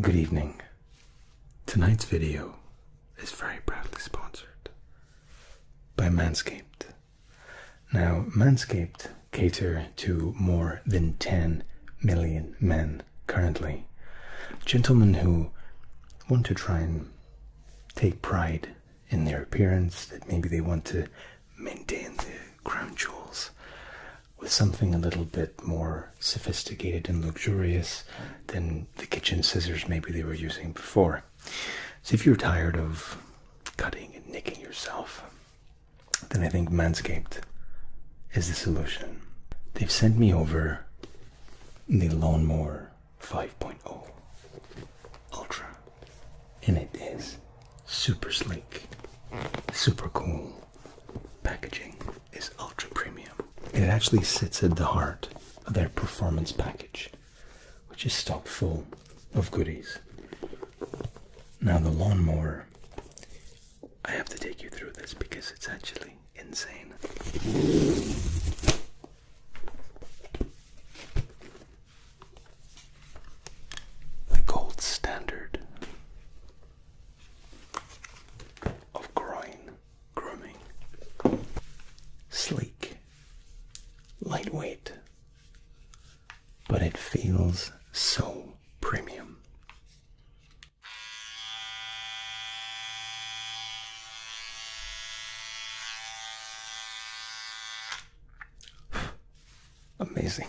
Good evening. Tonight's video is very proudly sponsored by Manscaped. Now, Manscaped cater to more than 10 million men currently. Gentlemen who want to try and take pride in their appearance, that maybe they want to maintain their crown jewels with something a little bit more sophisticated and luxurious than the kitchen scissors maybe they were using before. So if you're tired of cutting and nicking yourself, then I think Manscaped is the solution. They've sent me over the Lawnmower 5.0 Ultra, and it is super sleek, super cool, packaging is ultra premium. It actually sits at the heart of their performance package, which is stocked full of goodies. Now, the lawnmower, I have to take you through this because it's actually insane. The gold standard of groin grooming. Sleek, lightweight, but it feels so premium. Amazing.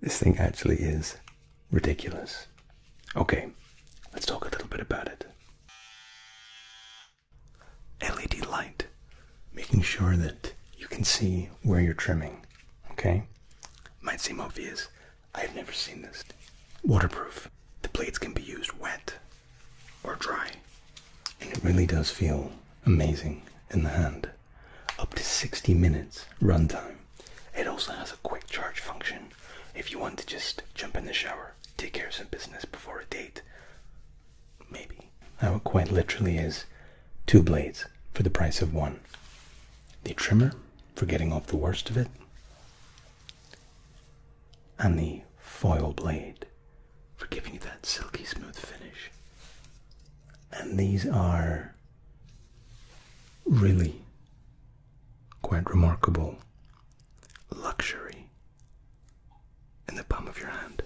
This thing actually is ridiculous. Okay, let's talk a little bit about it. LED light, making sure that you can see where you're trimming. Okay, might seem obvious. I've never seen this. Waterproof. The blades can be used wet or dry, and it really does feel amazing in the hand. Up to 60 minutes runtime. It also has a quick charge function if you want to just jump in the shower, take care of some business before a date. Maybe. Now, it quite literally is two blades for the price of one the trimmer for getting off the worst of it, and the foil blade for giving you that silky smooth finish. And these are really quite remarkable luxury in the palm of your hand.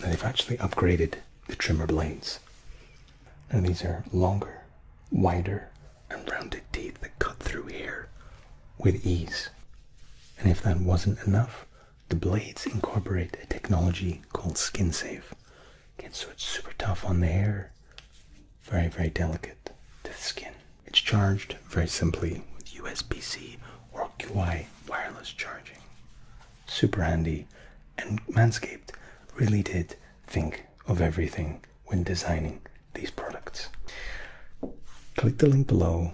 they've actually upgraded the trimmer blades. Now these are longer, wider, and rounded teeth that cut through hair with ease. And if that wasn't enough, the blades incorporate a technology called skin safe. so it's super tough on the hair, very, very delicate to the skin. It's charged very simply with USB C or QI wireless charging. Super handy, and Manscaped really did think of everything when designing these products. Click the link below,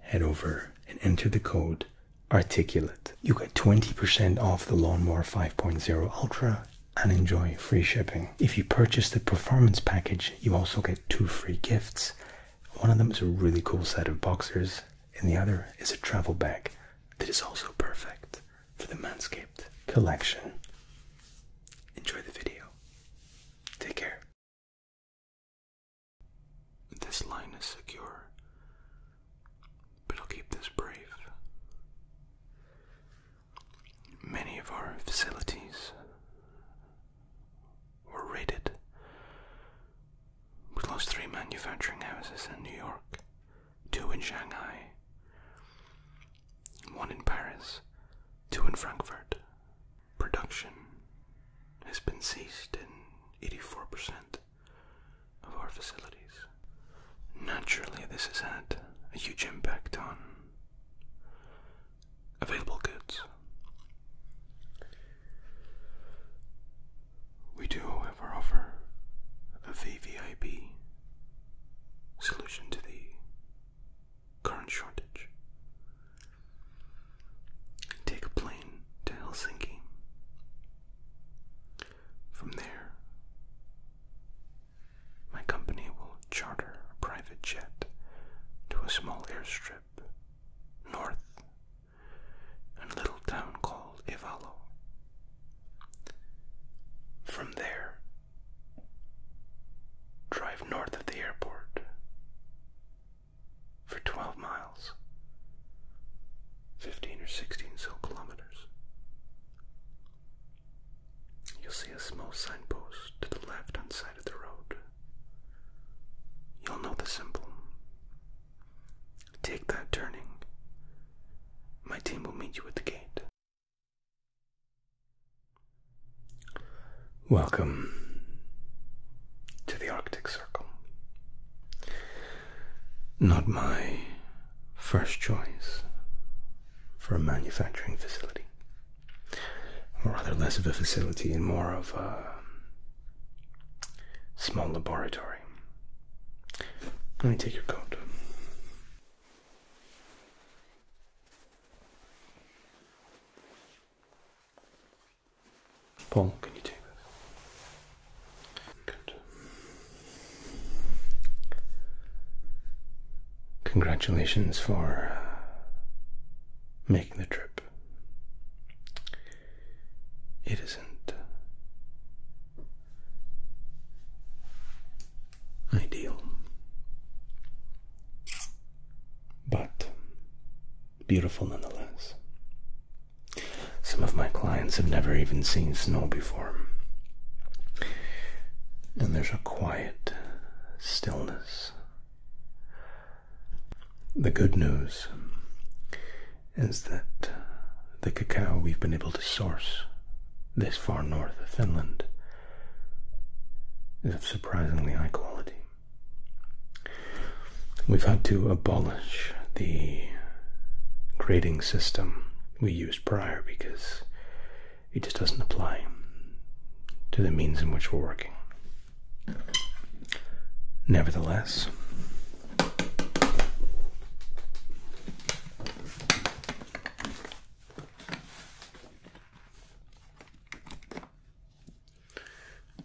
head over, and enter the code articulate. You get 20% off the Lawnmower 5.0 Ultra and enjoy free shipping. If you purchase the performance package, you also get two free gifts. One of them is a really cool set of boxers, and the other is a travel bag that is also perfect for the Manscaped collection. Enjoy the video. Take care. This line is secure, but I'll keep this brave. Many of our facilities were raided. We lost three manufacturing houses in New York, two in Shanghai, one in Paris, two in Frankfurt. Production has been ceased in 84% of our facilities. Naturally, this has had a huge impact on available goods. We do, however, offer a VVIP solution to the current shortage. Take a plane to Helsinki. From there, my company will charter a private jet to a small airstrip north in a little town called Ivalo. From there, drive north of the airport for 12 miles, 15 or 16 so kilometers. You'll see a small signpost to the left hand side of the road. You'll know the symbol. Take that turning. My team will meet you at the gate. Welcome to the Arctic Circle. Not my first choice, for a manufacturing facility. Or rather, less of a facility and more of a small laboratory. Let me take your coat. Paul, can you take this? Good. Congratulations for uh, making the trip. It isn't uh, ideal, but beautiful nonetheless. Some of my clients have never even seen snow before. And there's a quiet stillness. The good news is that the cacao we've been able to source this far north of Finland is of surprisingly high quality. We've had to abolish the grading system we used prior because it just doesn't apply to the means in which we're working. Nevertheless,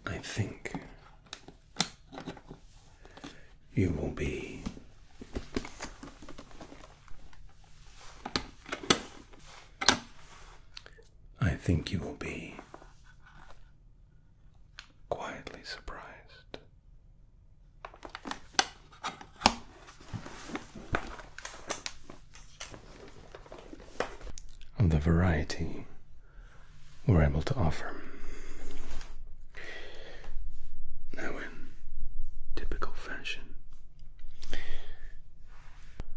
I think you will be I think you will be quietly surprised. Of the variety we're able to offer. Now, in typical fashion,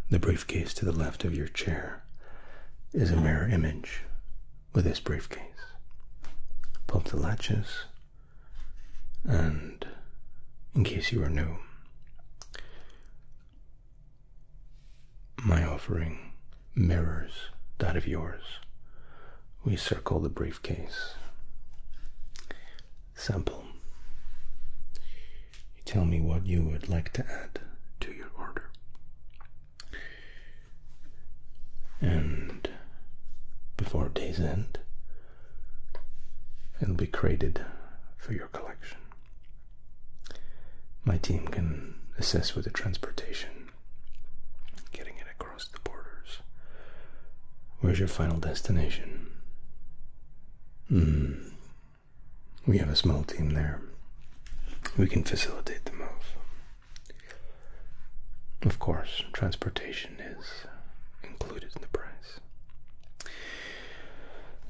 the briefcase to the left of your chair is a mirror image with this briefcase. Pull the latches, and in case you are new, my offering mirrors that of yours. We circle the briefcase sample. You tell me what you would like to add to your order. And before day's end, it'll be created for your collection. My team can assist with the transportation, getting it across the borders. Where's your final destination? Hmm. We have a small team there. We can facilitate the move. Of course, transportation is included in the price.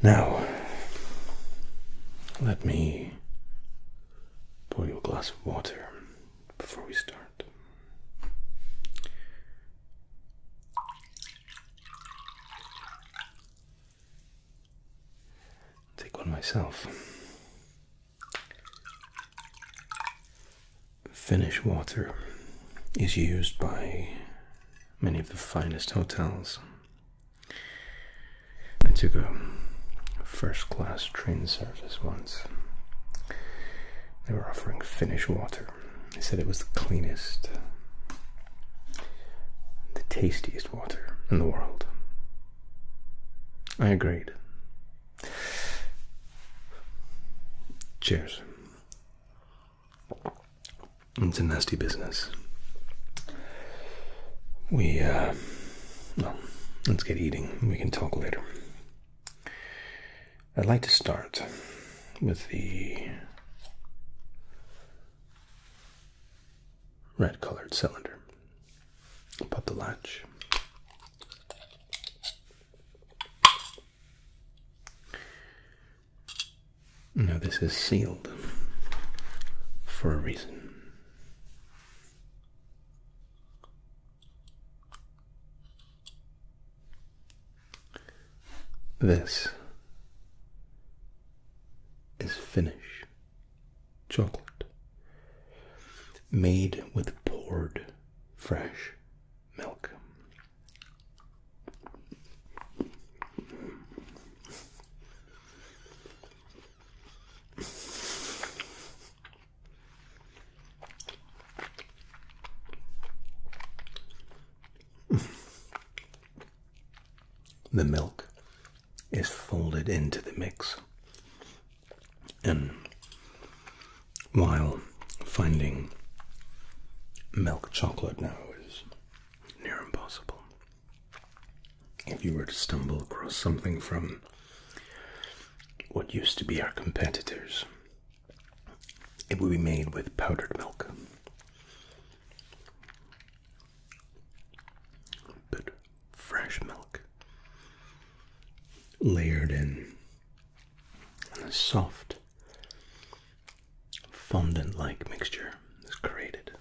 Now, let me pour you a glass of water before we start. Take one myself. Finnish water is used by many of the finest hotels. I took a first class train service once. They were offering Finnish water they said it was the cleanest, the tastiest water in the world. I agreed. Cheers. It's a nasty business. We, uh, well, let's get eating. We can talk later. I'd like to start with the red colored cylinder. Pop the latch. Now, this is sealed for a reason. This is Finnish chocolate made with poured fresh milk the milk is folded into the mix. And while finding milk chocolate now is near impossible, if you were to stumble across something from what used to be our competitors, it would be made with powdered milk. But fresh milk layered in, and a soft fondant like mixture is created.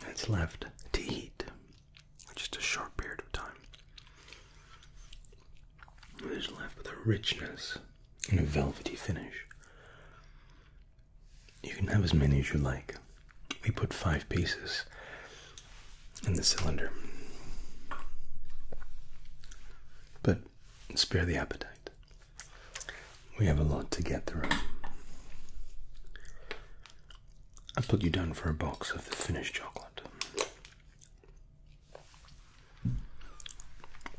And it's left to heat just a short period of time. It is left with a richness and a velvety finish. You can have as many as you like. We put five pieces in the cylinder. But spare the appetite. We have a lot to get through. I put you down for a box of the finished chocolate.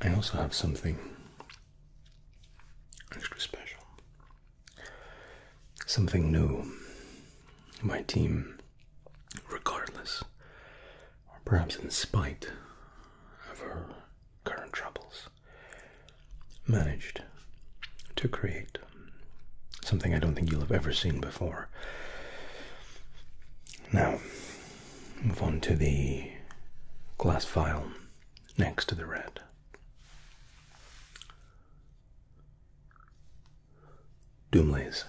I also have something extra special. Something new. My team, regardless, or perhaps in spite of her current troubles, managed to create something I don't think you'll have ever seen before. Now, move on to the glass file next to the red. Doomlays.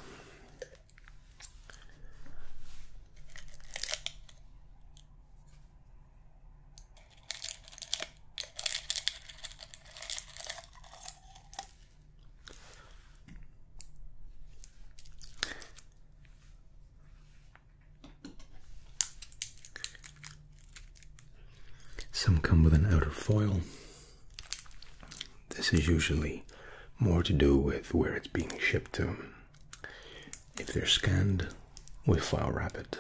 Some come with an outer foil. This is usually more to do with where it's being shipped to. If they're scanned, we file wrap it.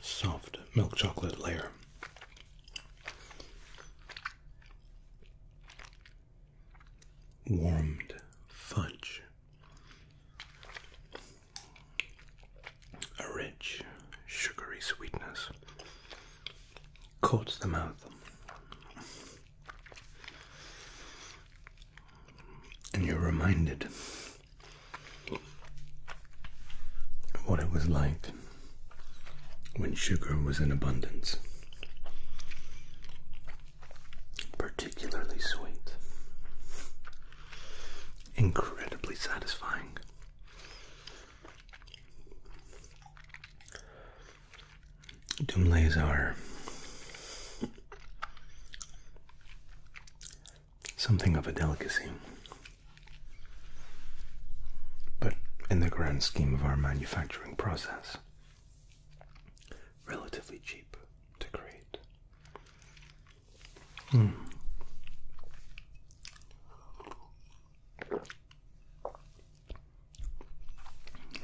Soft milk chocolate layer. Warmed fudge. A rich, sugary sweetness coats the mouth. And you're reminded of what it was like when sugar was in abundance, particularly sweet, incredibly satisfying. Dumlays are something of a delicacy. But in the grand scheme of our manufacturing process, relatively cheap to create. Hmm.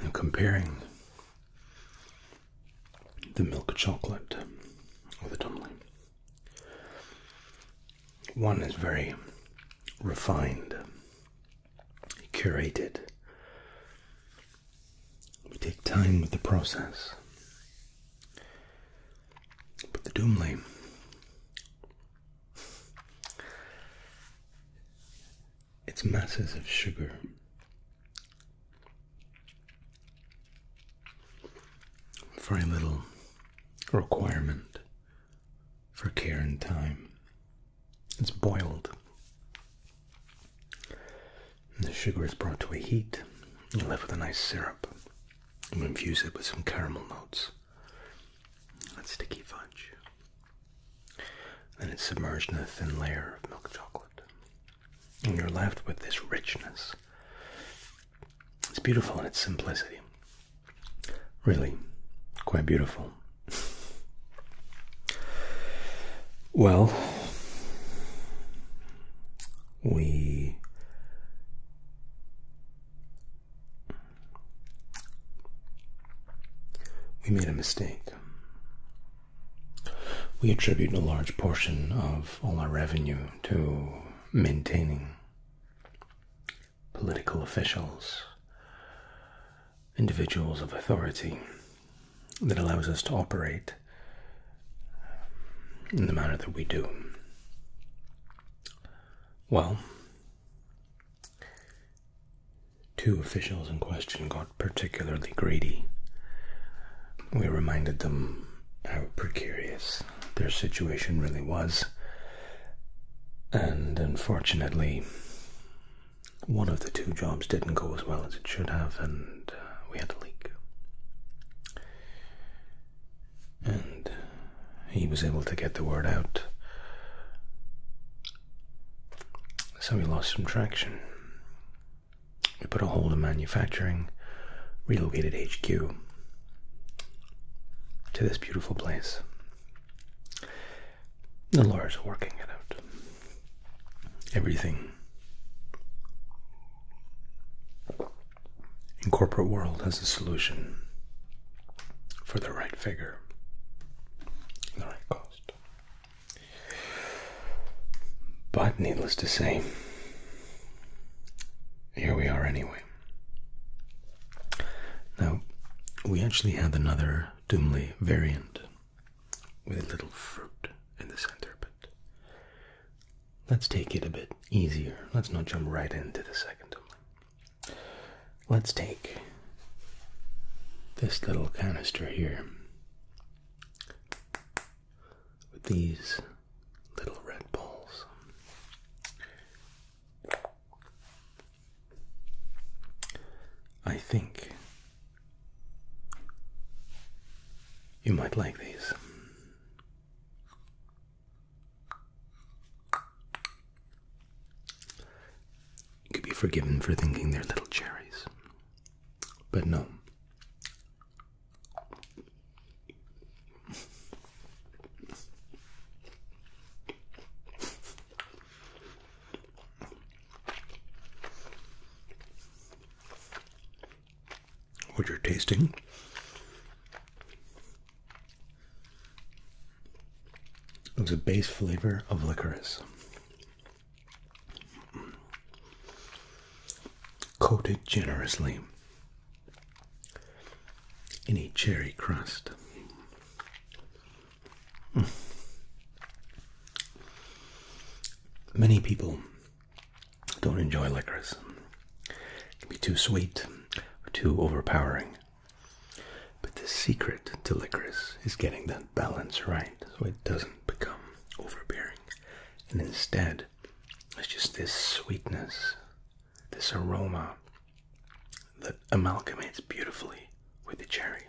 I'm comparing the milk chocolate with the dumpling. One is very refined, curated. We take time with the process. But the Doomley it's masses of sugar. Very little requirement for care and time. It's boiled. the sugar is brought to a heat. You left with a nice syrup. You infuse it with some caramel notes. That sticky fudge. Then it's submerged in a thin layer of milk chocolate. And you're left with this richness. It's beautiful in its simplicity. Really, quite beautiful. well, we we made a mistake. We attribute a large portion of all our revenue to maintaining political officials, individuals of authority that allows us to operate in the manner that we do. Well, Two officials in question got particularly greedy. We reminded them how precarious their situation really was, and unfortunately, one of the two jobs didn't go as well as it should have, and uh, we had a leak. And he was able to get the word out. So we lost some traction. We put a hold on manufacturing, relocated HQ to this beautiful place. The lawyers are working it out. Everything in corporate world has a solution for the right figure the right cost. But needless to say, here we are anyway. Now, we actually had another Doomly variant with a little fruit in the center, but let's take it a bit easier. Let's not jump right into the second Doomly. Let's take this little canister here with these little red balls. I think you might like these. You could be forgiven for thinking they're little cherries. But no. What you're tasting it was a base flavor of licorice. Coated generously in a cherry crust. Hmm. Many people don't enjoy licorice. It can be too sweet or too overpowering. But the secret to licorice is getting that balance right so it doesn't become overbearing. And instead, it's just this sweetness, this aroma that amalgamates beautifully with the cherry.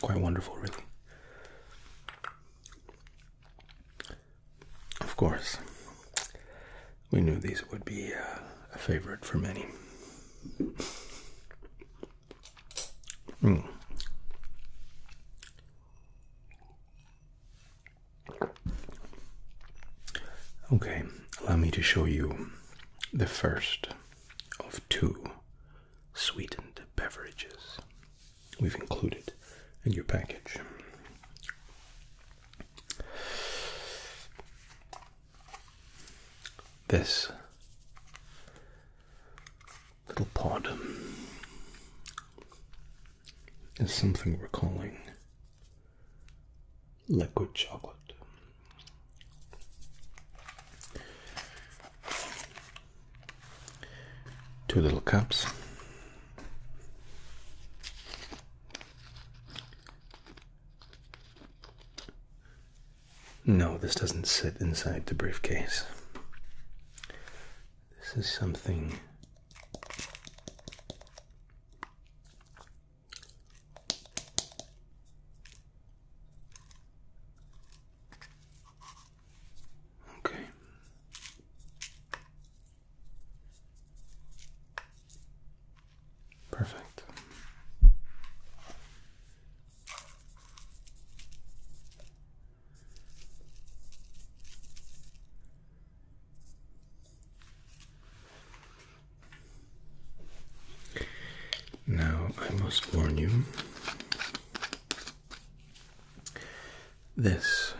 Quite wonderful, really. Of course, we knew these would be uh, a favorite for many. Hmm. Okay, allow me to show you the first of two sweetened beverages we've included in your package this little pod is something we're calling liquid chocolate. Two little cups. No, this doesn't sit inside the briefcase. This is something Okay. Perfect. Now, I must warn you this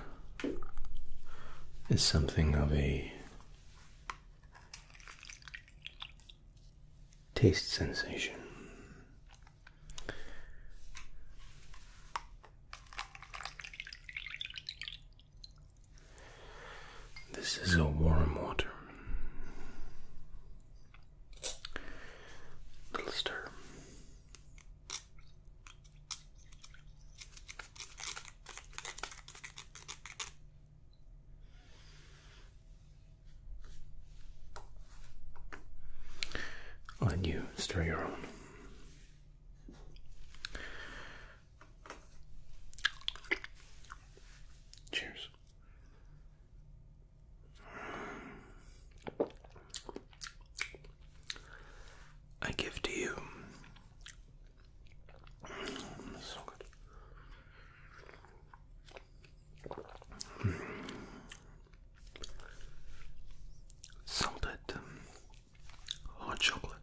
is something of a taste sensation. This is a warm water. Little stir. I'll let you stir your own. Cheers. I give to you Salted um, hot chocolate.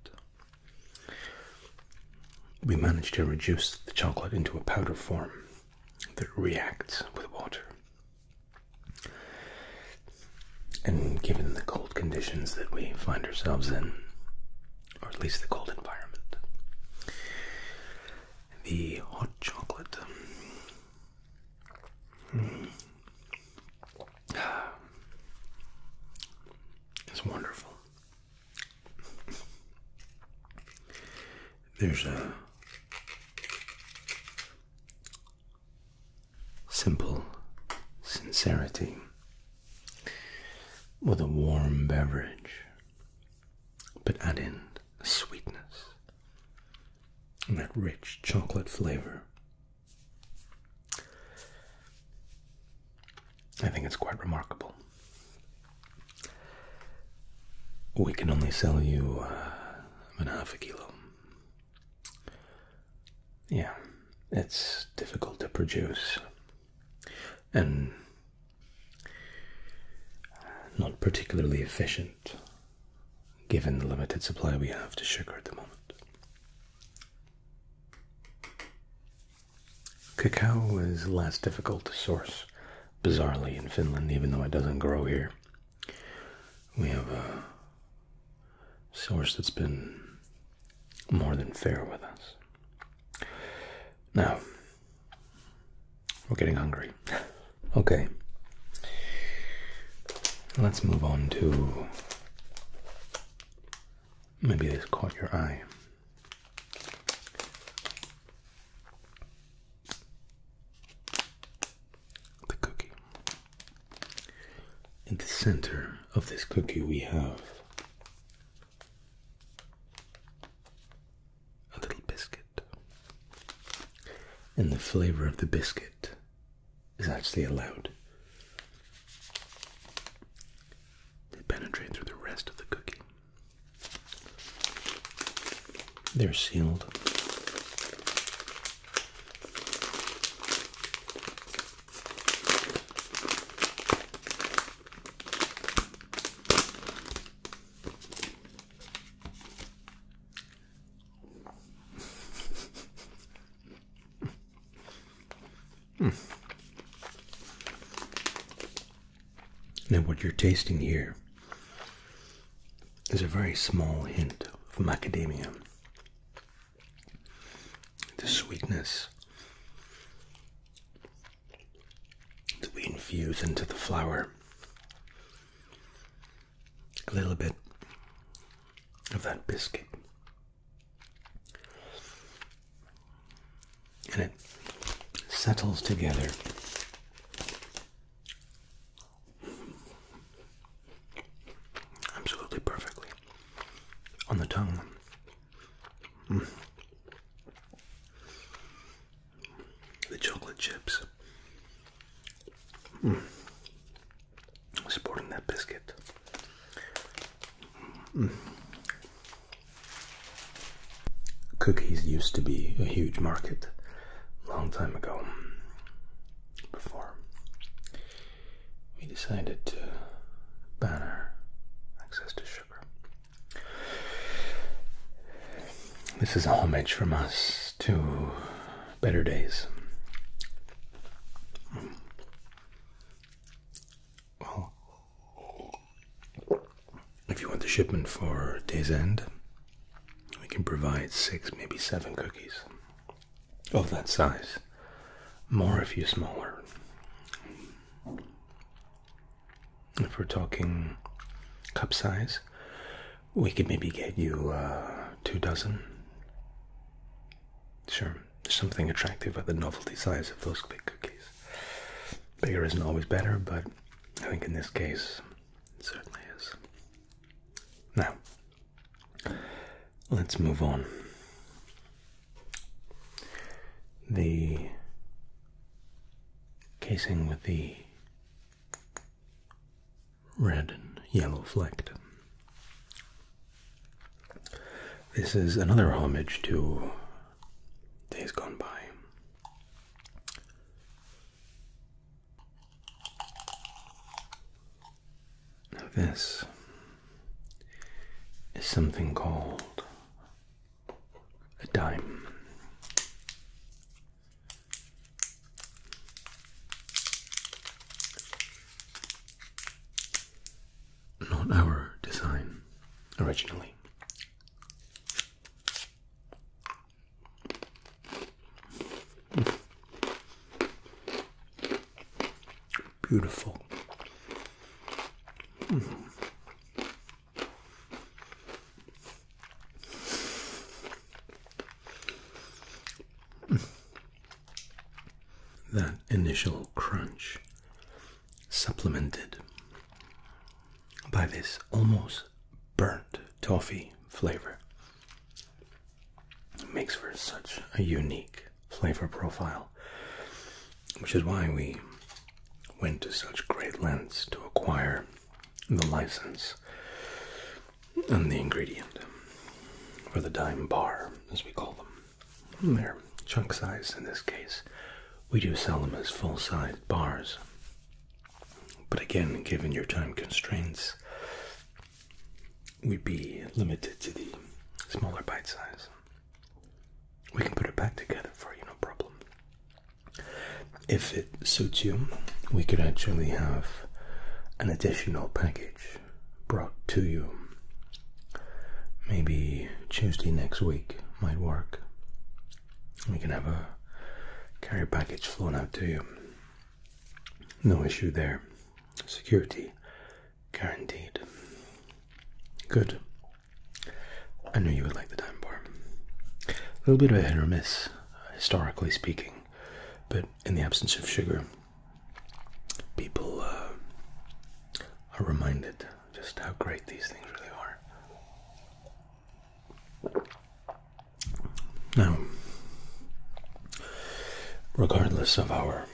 We managed to reduce the chocolate into a powder form that reacts with water. And given the cold conditions that we find ourselves in, or at least the cold environment. The hot chocolate. Mm. It's wonderful. There's a simple sincerity with a warm beverage, but add in sweetness and that rich chocolate flavor. I think it's quite remarkable. We can only sell you uh, half a kilo. Yeah, it's difficult to produce and not particularly efficient given the limited supply we have to sugar at the moment. Cacao is less difficult to source, bizarrely, in Finland, even though it doesn't grow here. We have a source that's been more than fair with us. Now, we're getting hungry. okay. Let's move on to. Maybe this caught your eye. The cookie. In the center of this cookie, we have a little biscuit. And the flavor of the biscuit is actually allowed to penetrate through the rest of the cookie. They're sealed. Hmm. Now, what you're tasting here is a very small hint of macadamia. The sweetness that we infuse into the flour. A little bit of that biscuit. And it settles together. Absolutely perfectly on the tongue. Mm. The chocolate chips. Mm. Supporting that biscuit. Mm. Cookies used to be a huge market a long time ago. Before we decided to banner access to sugar. This is a homage from us to better days. Well, if you want the shipment for day's end, we can provide six, maybe seven cookies of that size. More if you are smaller if we're talking cup size, we could maybe get you uh, two dozen. Sure, there's something attractive about the novelty size of those big cookies. Bigger isn't always better, but I think in this case, it certainly is. Now, let's move on. The casing with the red and yellow flecked. This is another homage to days gone by. Now, this is something called a dime. Not our design originally. Beautiful. That initial crunch, supplemented by this almost burnt toffee flavor, makes for such a unique flavor profile which is why we went to such great lengths to acquire the license and the ingredient for the dime bar, as we call them. They're chunk size in this case. We do sell them as full sized bars. But again, given your time constraints, we'd be limited to the smaller bite size we can put it back together for you, no problem. If it suits you, we could actually have an additional package brought to you. Maybe Tuesday next week might work. We can have a carrier package flown out to you. No issue there. Security guaranteed. Good. I knew you would like the time bar. A little bit of a hit or miss, historically speaking, but in the absence of sugar, people uh, are reminded just how great these things really are. Now, regardless of our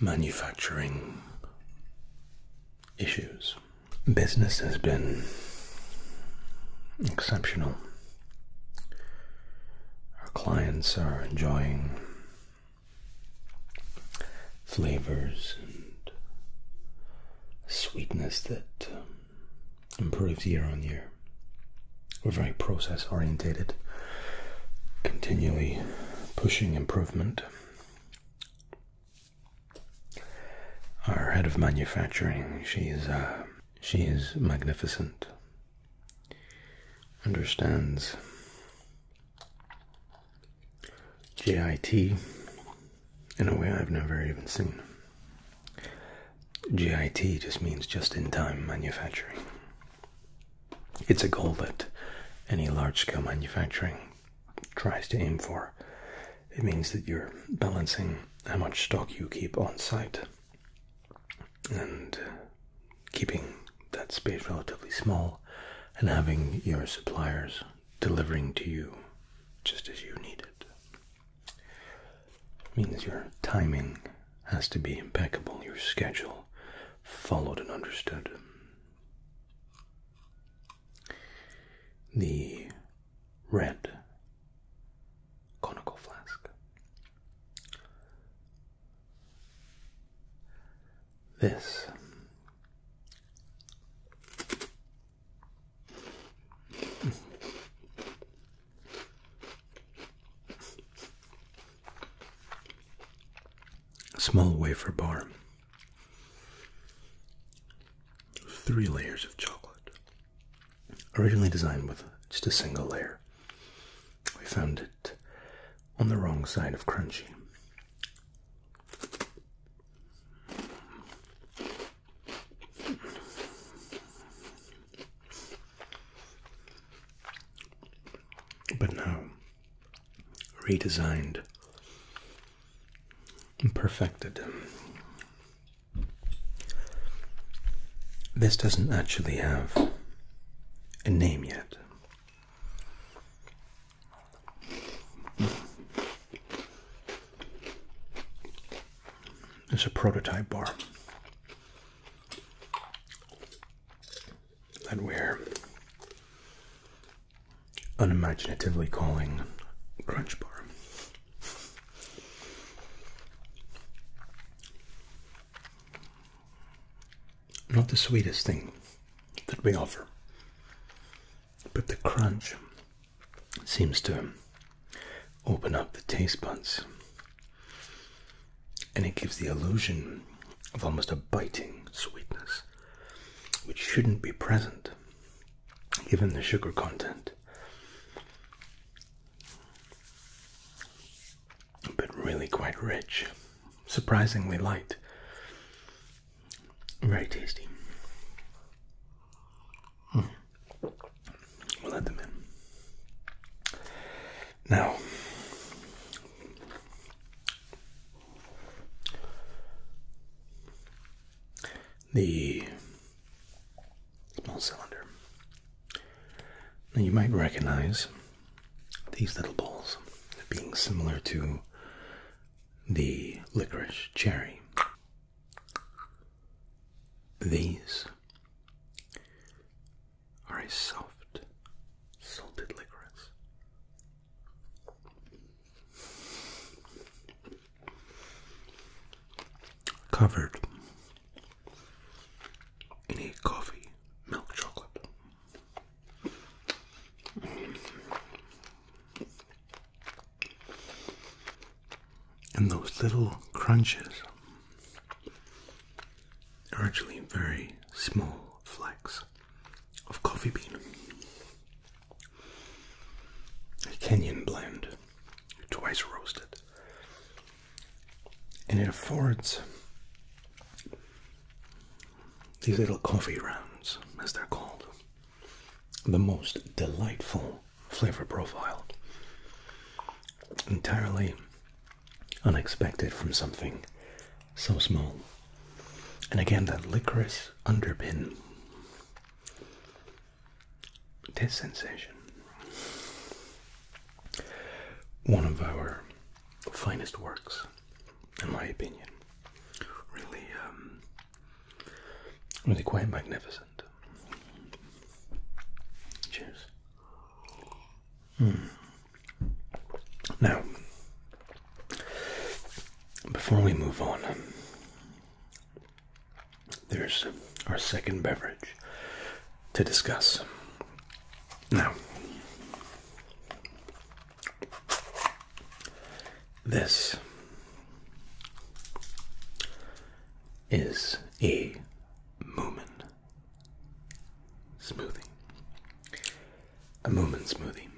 manufacturing issues. Business has been exceptional. Our clients are enjoying flavors and sweetness that um, improves year on year. We're very process orientated, continually pushing improvement. Our head of manufacturing, she is uh, she is magnificent. Understands JIT in a way I've never even seen. JIT just means just in time manufacturing. It's a goal that any large scale manufacturing tries to aim for. It means that you're balancing how much stock you keep on site and keeping that space relatively small and having your suppliers delivering to you just as you need it. It means your timing has to be impeccable. Your schedule followed and understood. The red conical flask. This a Small wafer bar. Three layers of chocolate. Originally designed with just a single layer. We found it on the wrong side of crunchy. But now redesigned, and perfected. This doesn't actually have a name yet. It's a prototype bar that we're unimaginatively calling Crunch Bar. Not the sweetest thing that we offer, but the crunch seems to open up the taste buds and it gives the illusion of almost a biting sweetness, which shouldn't be present given the sugar content. But really quite rich, surprisingly light, very tasty. Hmm. We'll add them in. Now, the small cylinder. Now, you might recognize these little balls being similar to the licorice cherry. These are a soft, salted licorice. Covered in a coffee milk chocolate. And those little crunches are actually very small flakes of coffee bean, a Kenyan blend, twice roasted, and it affords these little coffee rounds, as they're called, the most delightful flavor profile, entirely unexpected from something so small. And again, that licorice underpin This sensation. One of our finest works, in my opinion. Really, um, really quite magnificent. Cheers. Hmm. Now, before we move on, there's our second beverage to discuss. Now, this is a Moomin smoothie a Moomin smoothie.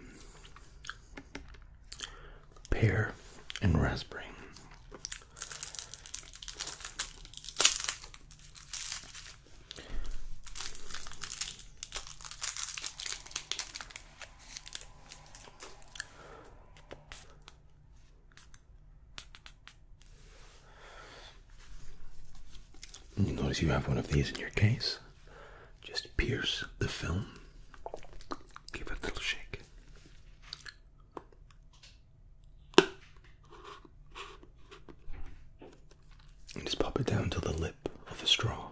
Pear and raspberry. notice you have one of these in your case. Just pierce the film. Give it a little shake. And just pop it down to the lip of the straw.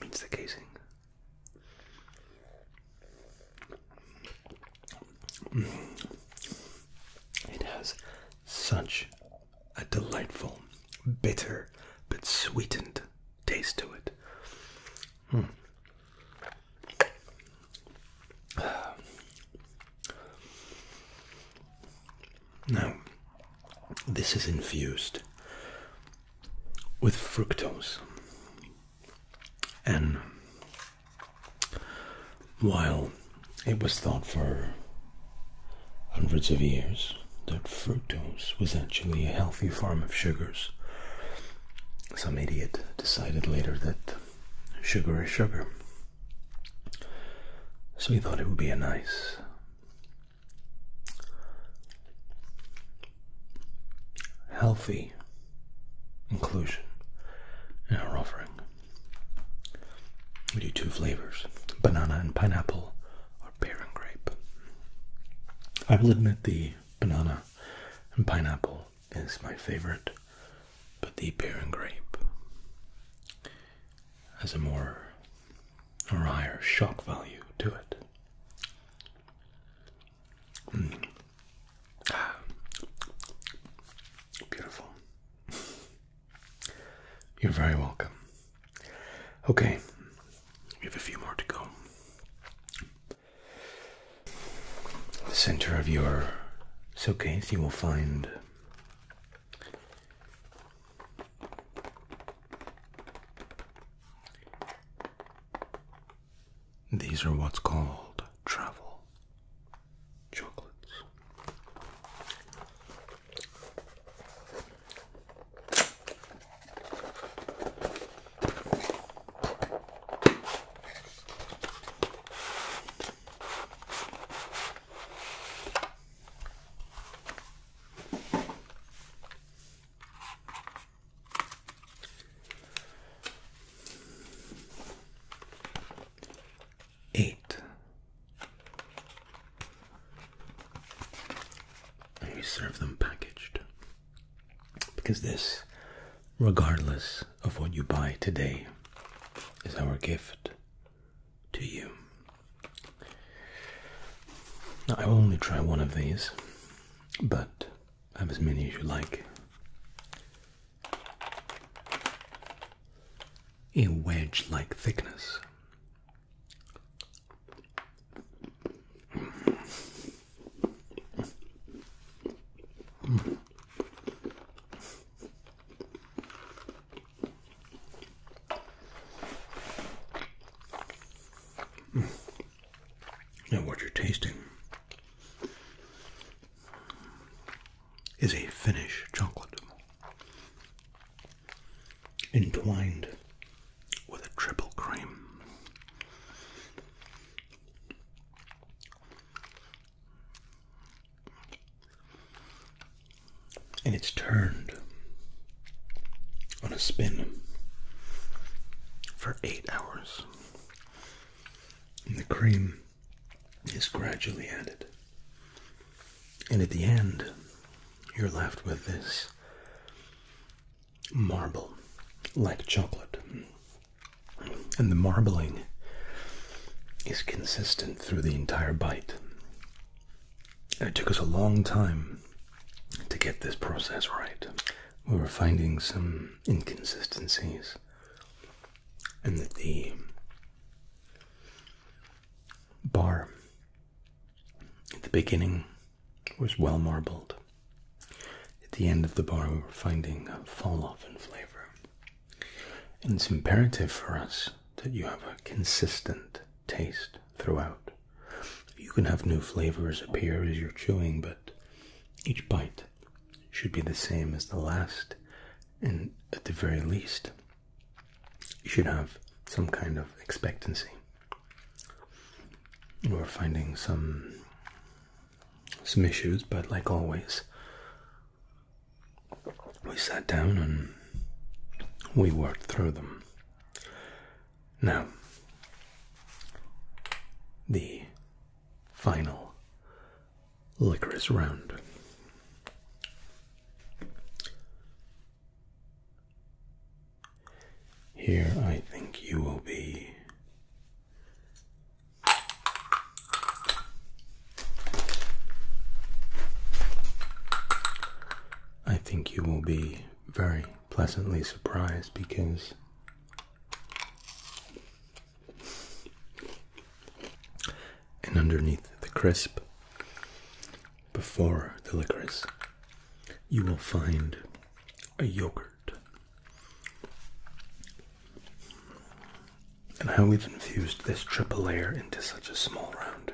Meets the casing. Mm. It has such a delightful, bitter, but sweetened taste to it. Hmm. Now, this is infused with fructose and while it was thought for hundreds of years that fructose was actually a healthy form of sugars, some idiot decided later that sugar is sugar. So he thought it would be a nice healthy inclusion in our offering. We do two flavors banana and pineapple, or pear and grape. I will admit the banana and pineapple is my favorite, but the pear and grape has a more or higher shock value to it. Mm. Beautiful. You're very welcome. Okay, we have a few more to go. the center of your suitcase, you will find these are what's called travel chocolates eight. we serve them packaged. Because this, regardless of what you buy today, is our gift to you. I only try one of these, but have as many as you like a wedge like thickness. Now, what you're tasting is a Finnish chocolate entwined with a triple cream. And it's turned on a spin for eight hours. And the cream is gradually added and at the end, you're left with this marble like chocolate. And the marbling is consistent through the entire bite. it took us a long time to get this process right. We were finding some inconsistencies, and that the bar at the beginning was well marbled. At the end of the bar, we were finding a fall off in flavor. And it's imperative for us that you have a consistent taste throughout. You can have new flavors appear as you're chewing, but each bite should be the same as the last, and at the very least, you should have some kind of expectancy. We're finding some some issues, but like always, we sat down and we worked through them. Now, the final licorice round. Here, I think you will be I think you will be very pleasantly surprised because and underneath the crisp before the licorice, you will find a yogurt. And how we've infused this triple layer into such a small round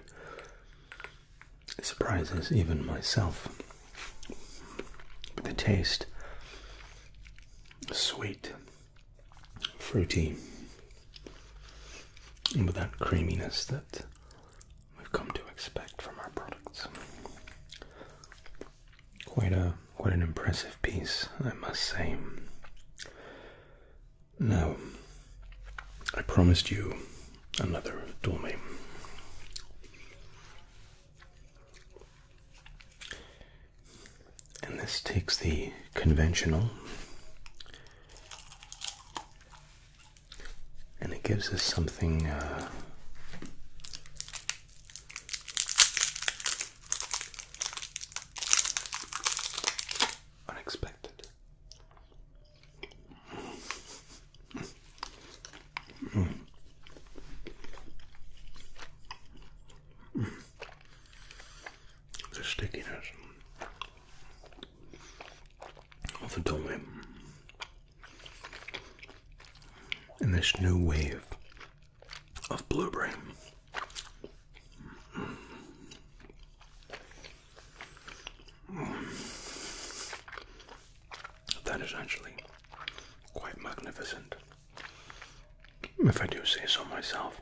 surprises even myself. But the taste sweet, fruity, and with that creaminess that we've come to expect from our products. Quite a quite an impressive piece, I must say. Now, I promised you another dorme. And this takes the conventional and it gives us something uh, unexpected the stickiness er of the dolly and this new wave of blueberry. That is actually quite magnificent, if I do say so myself.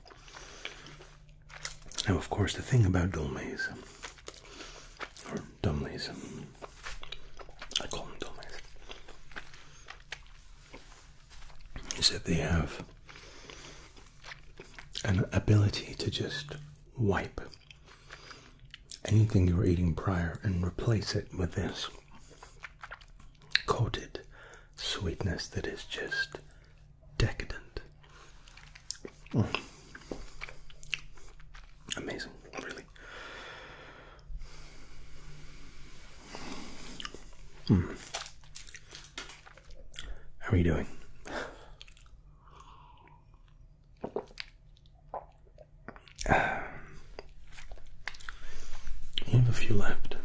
Now, of course, the thing about dolmes, or dumleys, I call them dolmes, is that they have an ability to just wipe anything you were eating prior and replace it with this coated sweetness that is just decadent. Amazing, really. Hmm. How are you doing? Uh, you have a few left.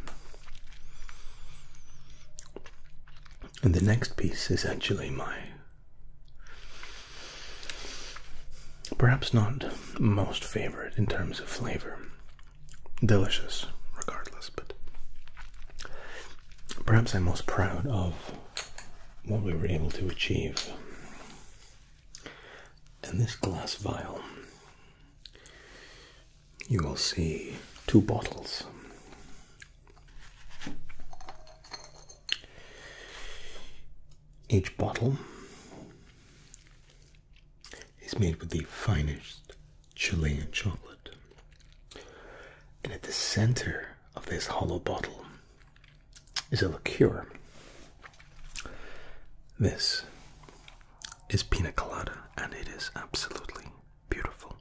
And the next piece is actually my Perhaps not most favorite in terms of flavor. Delicious, regardless, but perhaps I'm most proud of what we were able to achieve. In this glass vial, you will see two bottles each bottle is made with the finest Chilean chocolate. And at the center of this hollow bottle is a liqueur. This is pina colada, and it is absolutely beautiful.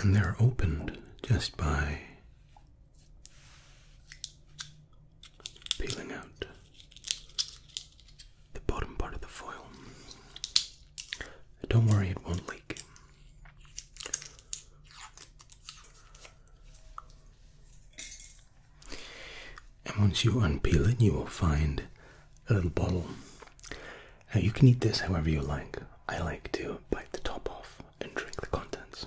And they're opened just by peeling out the bottom part of the foil. Don't worry, it won't leak and once you unpeel it, you will find a little bottle. Now, you can eat this however you like. I like to bite the top off and drink the contents.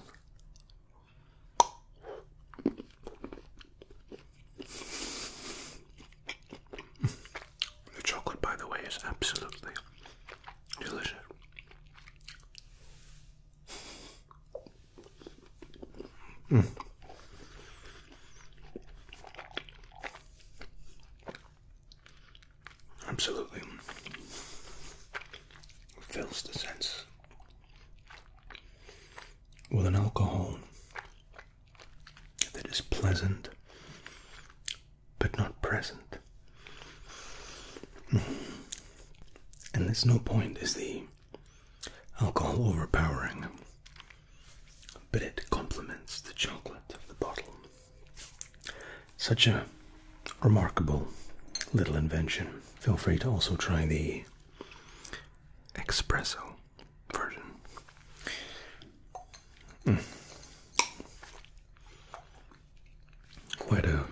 The chocolate, by the way, is absolutely delicious. Mm. Absolutely fills the sense with an alcohol that is pleasant but not present. And there's no point, is the alcohol overpowering but it complements the chocolate of the bottle. Such a remarkable little invention. Feel free to also try the espresso version. Hmm. Quite a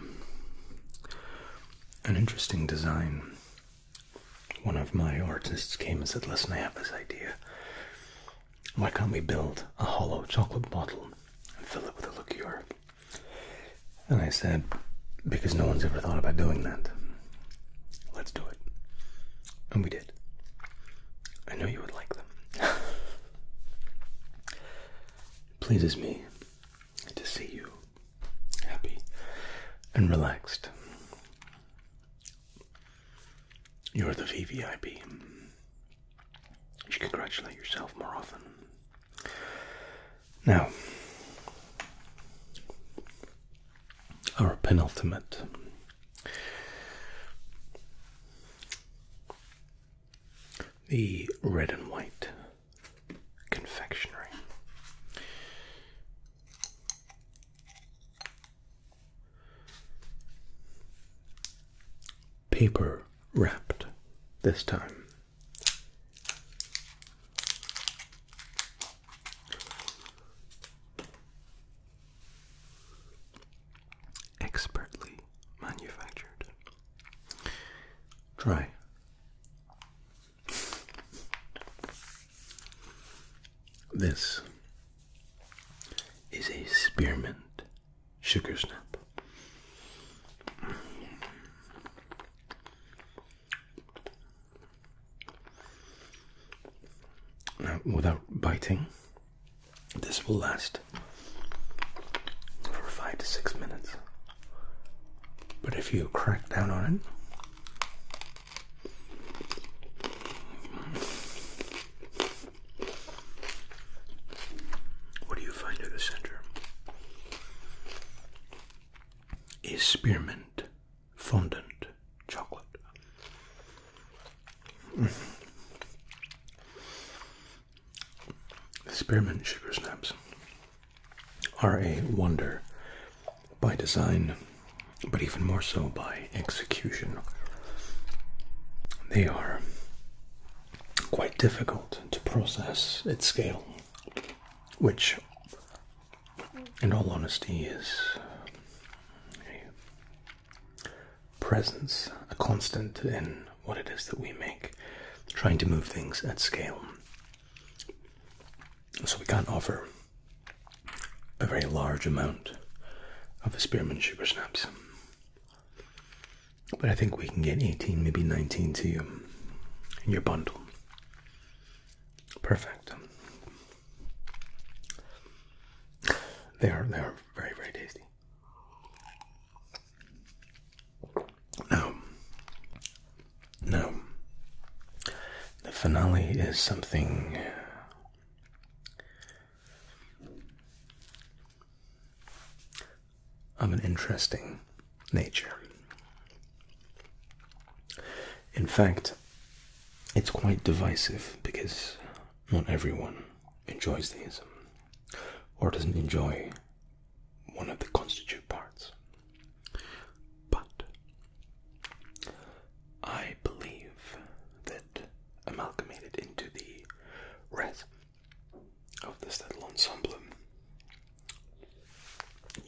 an interesting design one of my artists came and said, Listen, I have this idea. Why can't we build a hollow chocolate bottle and fill it with a liqueur? And I said, Because no one's ever thought about doing that. Let's do it. And we did. I know you would like them. Pleases me to see you happy and relaxed. You're the VVIP. You congratulate yourself more often. Now, our penultimate. The red and white confectionery paper wrapped this time. Expertly manufactured. Try. This is a spearmint sugar snap. Now, without biting, this will last for five to six minutes. But if you crack down on it, what do you find at the center? Is spearmint fondant chocolate? Mm. Spearmint sugar snaps are a wonder by design, but even more so by execution. They are quite difficult to process at scale, which, in all honesty, is a presence, a constant in what it is that we make, trying to move things at scale. So we can't offer a very large amount of spearmint sugar snaps. But I think we can get 18, maybe 19 to you in your bundle. Perfect. They are they are very, very tasty. Now, now the finale is something of an interesting nature. In fact, it's quite divisive because not everyone enjoys these or doesn't enjoy one of the constitute parts. But I believe that amalgamated into the rest of this little ensemble,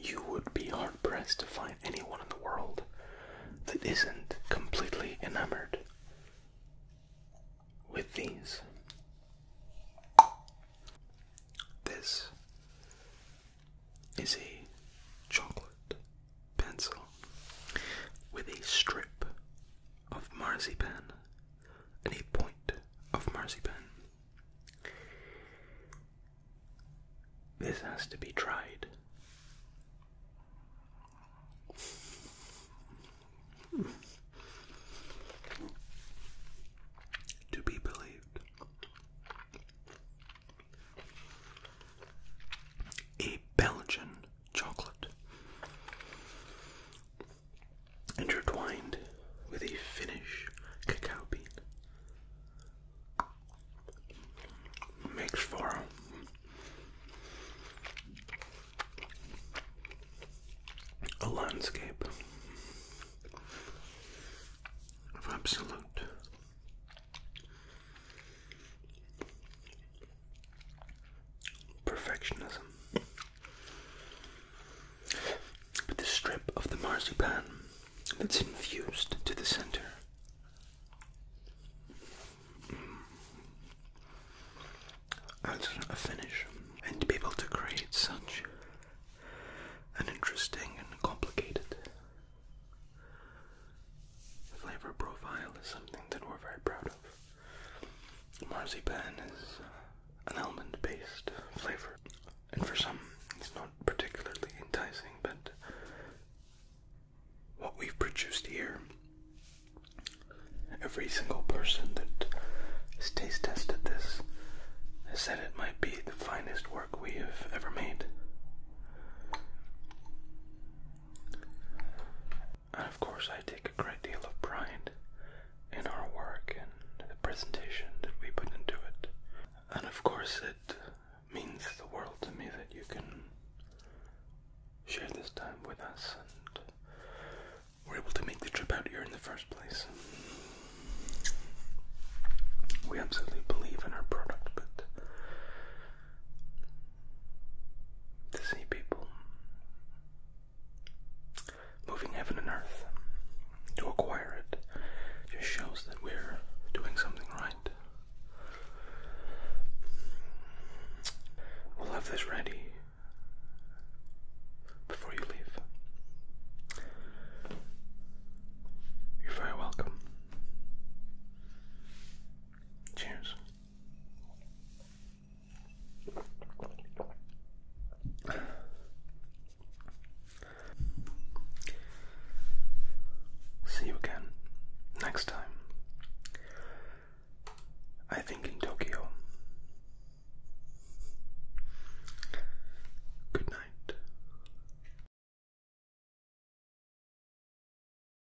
you would be hard pressed to find anyone in the world that isn't completely enamored with these. This is a chocolate pencil with a strip of marzipan and a point of marzipan. This has to be tried. To be believed. A Belgian chocolate, intertwined with a Finnish cacao bean. Makes for a landscape of absolute Perfectionism. with the strip of the marzipan that's infused to the center. As a finish, and be able to create such an interesting and complicated flavor profile is something that we're very proud of. Marzipan is uh, an almond based flavor, and for some, it's not particularly enticing, but what we've produced here, every single person that has taste tested this has said it might be the finest work we have ever made. And of course, I take a great deal of pride in our work and the presentation that we put into it. And of course, it means the world to me that you can share this time with us and we're able to make the trip out here in the first place. We absolutely believe in our product, but to see people moving heaven and earth to acquire it just shows that we're doing something right. We'll have this ready before you leave. You're very welcome. Cheers. See you again next time. I think in Tokyo. Good night.